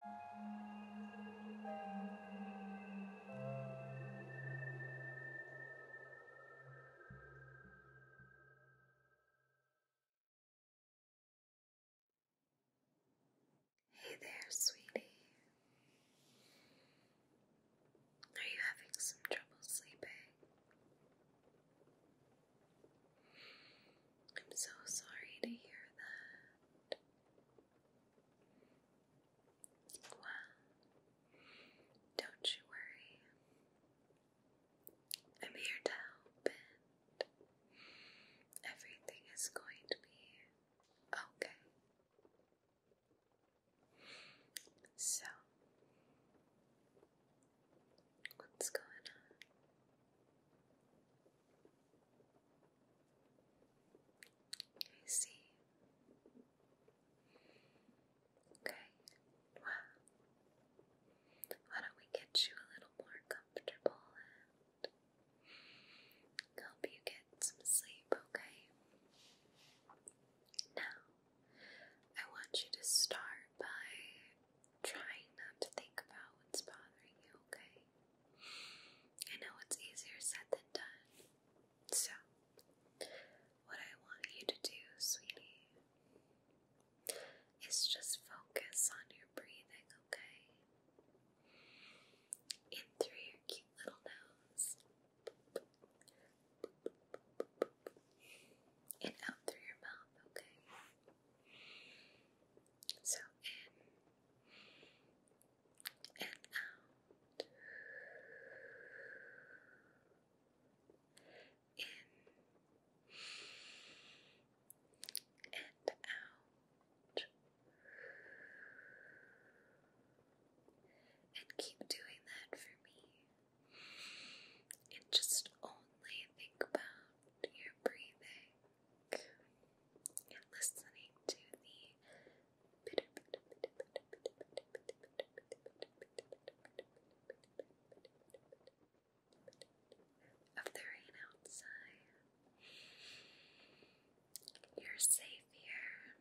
Hey there, sweetie. Are you having some trouble sleeping? I'm so sorry to hear that. Well, don't you worry. I'm here to help, and everything is going to be okay. So, what's going on? I see. Okay, well, why don't we get you a little more comfortable and help you get some sleep, okay? Now, I want you to start by trying not to think about what's bothering you, okay? I know it's easier said than done. So, what I want you to do, sweetie, is just focus on your breathing, okay? In through your cute little nose, and out through your mouth, okay? So in and out. In and out. And keep doing that for me. And just only think about your breathing and listening to the of the rain outside. You're safe here,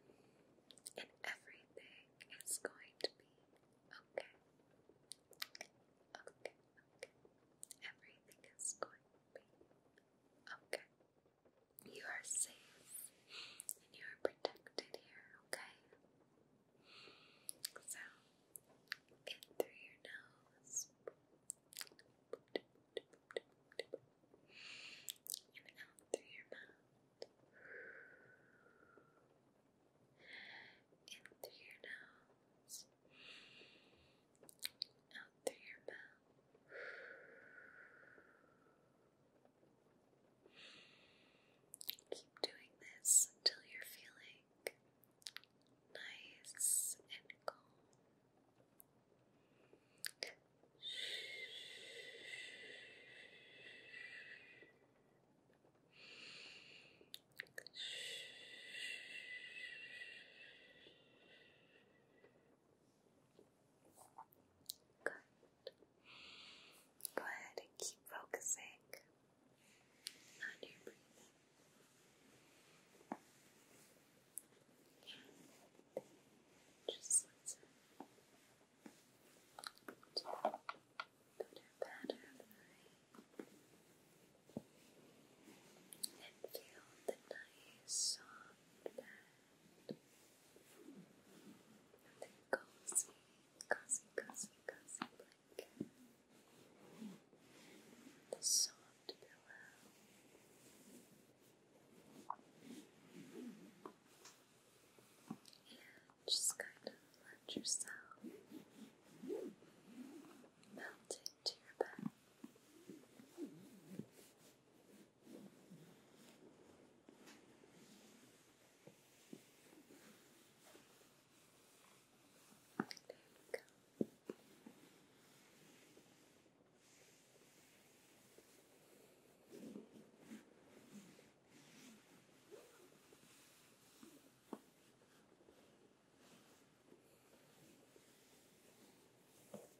and everything is going to be okay. Okay, okay. Everything is going Okay. You are safe and you are protected here, okay? So, in through your nose out through your mouth. In through your nose out through your mouth. Keep doing this until you're feeling nice and calm. Shh. Shh. Good. Go ahead and keep focusing on your breathing. Just listen uh, to the pattern of the rain and feel the nice soft bed the cozy, cozy, cozy, cozy blanket the soft pillow and just kind of let yourself melt to your back. go you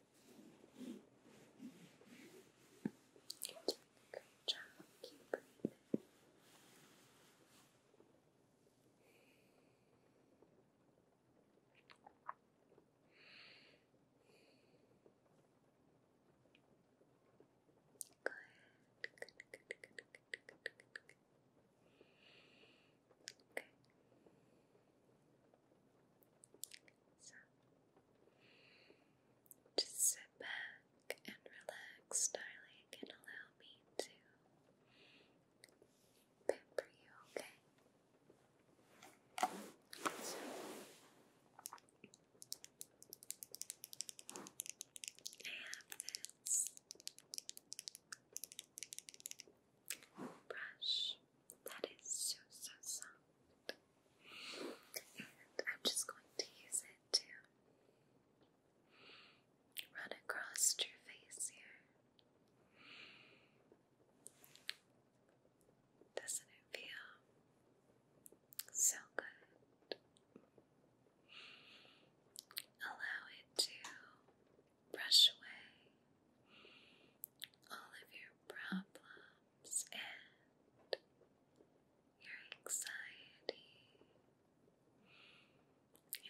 job. Keep breathing. Good, good, Okay. So just sit back and relax, darling, and allow me to pamper you, okay? So, I have this brush that is so, so soft. And I'm just going to use it to run across your face here. Doesn't it feel so good? Allow it to brush away all of your problems and your anxiety,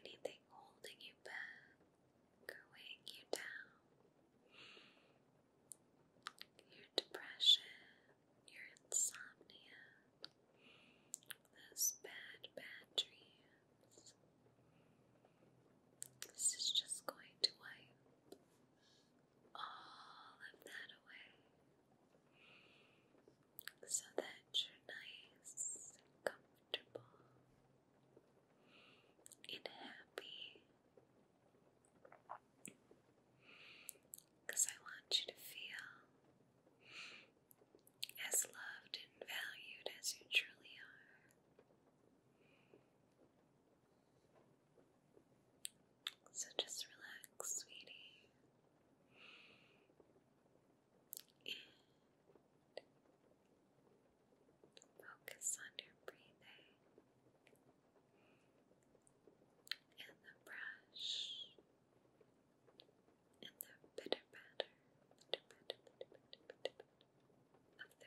anything holding you back or you down, your depression, your insomnia, those bad, bad dreams. This is just going to wipe all of that away so that you're nice comfortable and happy. Because I want you to feel as loved and valued as you truly are. So just relax, sweetie. focus on your breathing and the brush and the pitter patter, of the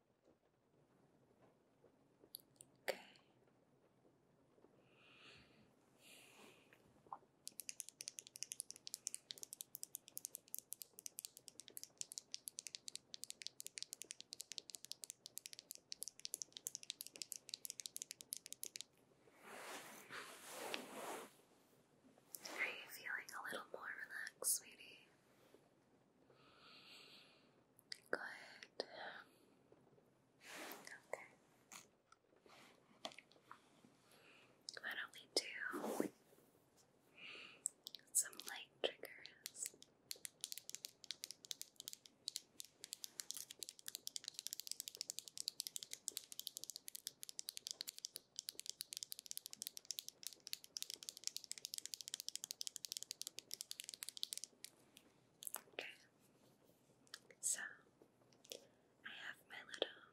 Okay. Are you feeling a little more relaxed, sweetie? Good. Okay. Why don't we do some light triggers? Okay. So I have my little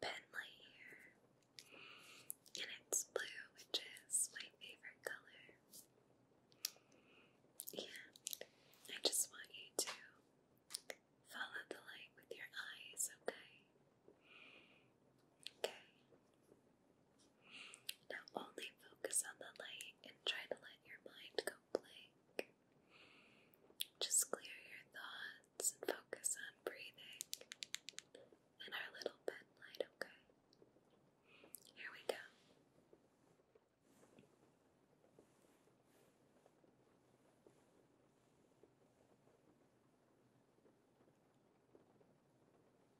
pen light here. And it's blue, which is my favorite color. And I just want you to follow the light with your eyes, okay? Okay. Now only focus on the light and try to let your mind go blank. Just clear your thoughts and focus on breathing and our little pen okay? Here we go.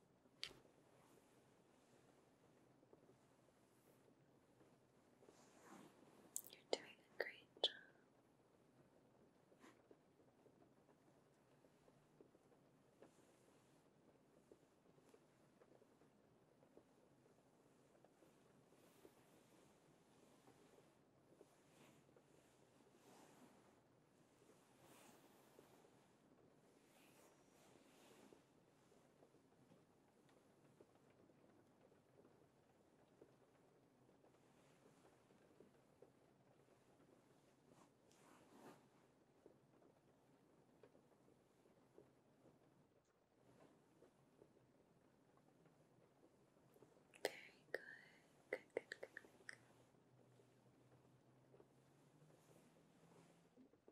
You're doing a great job. Very good. Good, good, good, good,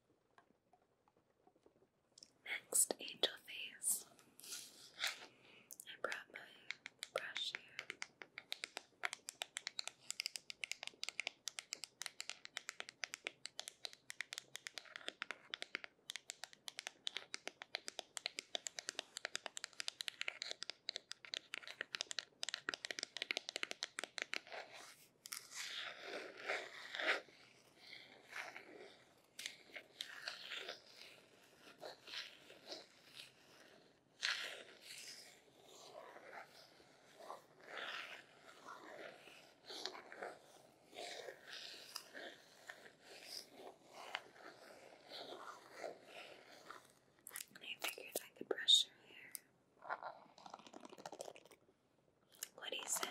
Next, angel face. I brought my brush here. I figured I could brush her hair. What do you say?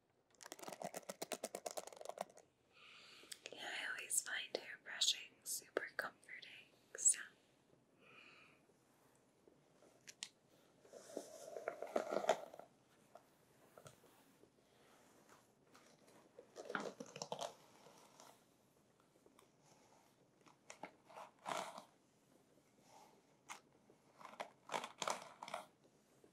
Yeah, I always find hair brushing super comforting, so.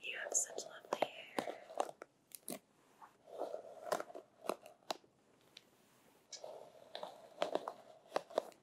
You have such lovely hair.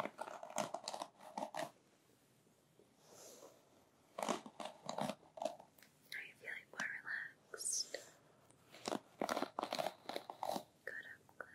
Are you feeling more relaxed? Good, I'm glad.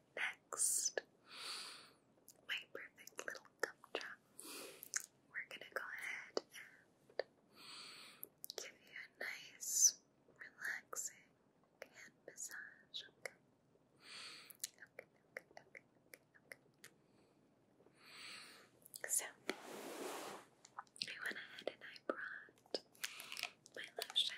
next my perfect little gumdrop. We're gonna go ahead and give you a nice, relaxing hand massage. Okay. Okay. Okay. Okay. okay. So I went ahead and I brought my lotion.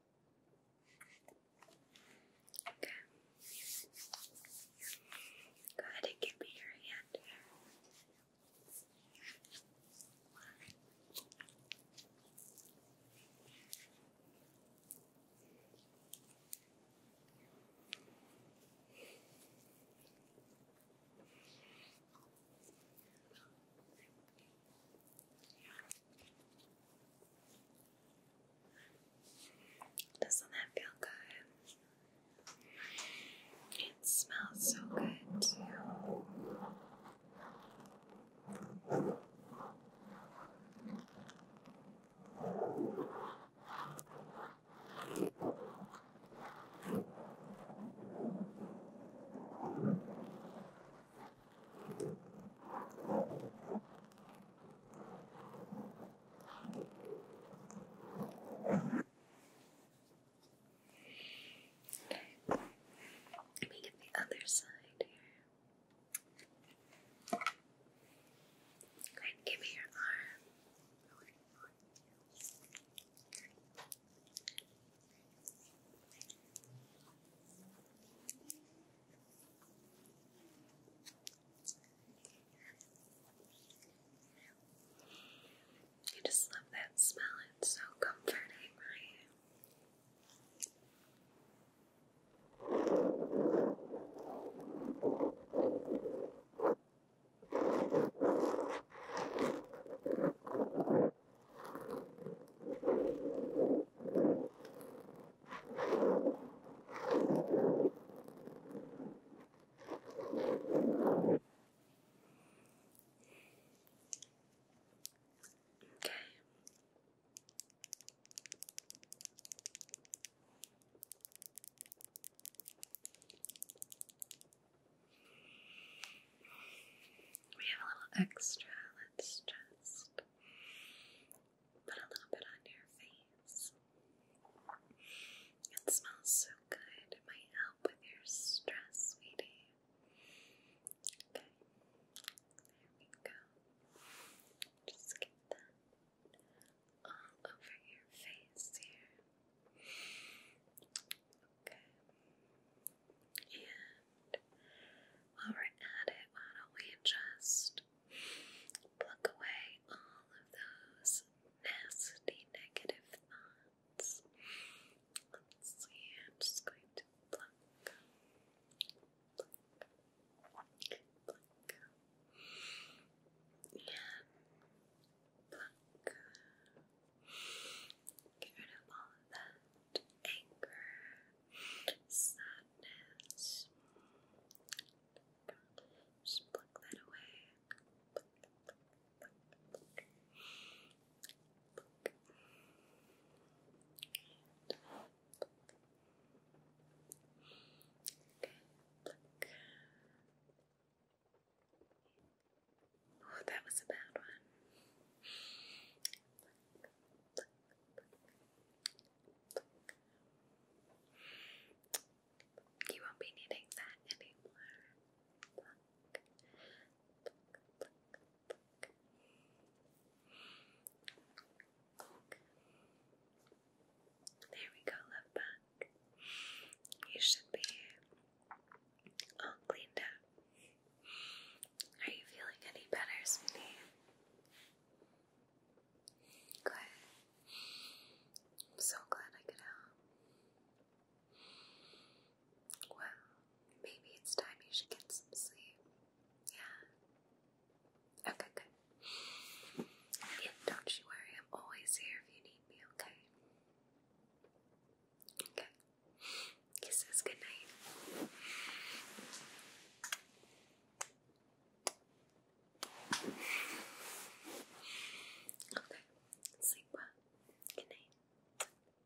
Okay. Go ahead and give me your hand doesn't that feel good? It smells so good too. Good. Okay. Let me get the other side here. Great, give me your arm. I just love that smell, it's so comforting, right? Okay. We have a little extra. Let's just Put a little bit on your face. It smells so good. It might help with your stress, sweetie. Okay. There we go. Just get that all over your face here. Okay. And while we're at it, why don't we just pluck away all of those nasty negative thoughts? Let's see, I'm just going to pluck, pluck, pluck, and pluck. Get rid of all of that anger, sadness. Just pluck that away. Oh, that was a bad one. You won't be needing that anymore. There we go, love You should be all cleaned up. Are you feeling any better, sweetie? Good. I'm so glad I could help. Well, maybe it's time you should get some sleep. Yeah? Okay, good. And don't you worry, I'm always here if you need me, okay? Okay. Kisses, good Okay, sleep well. Good night.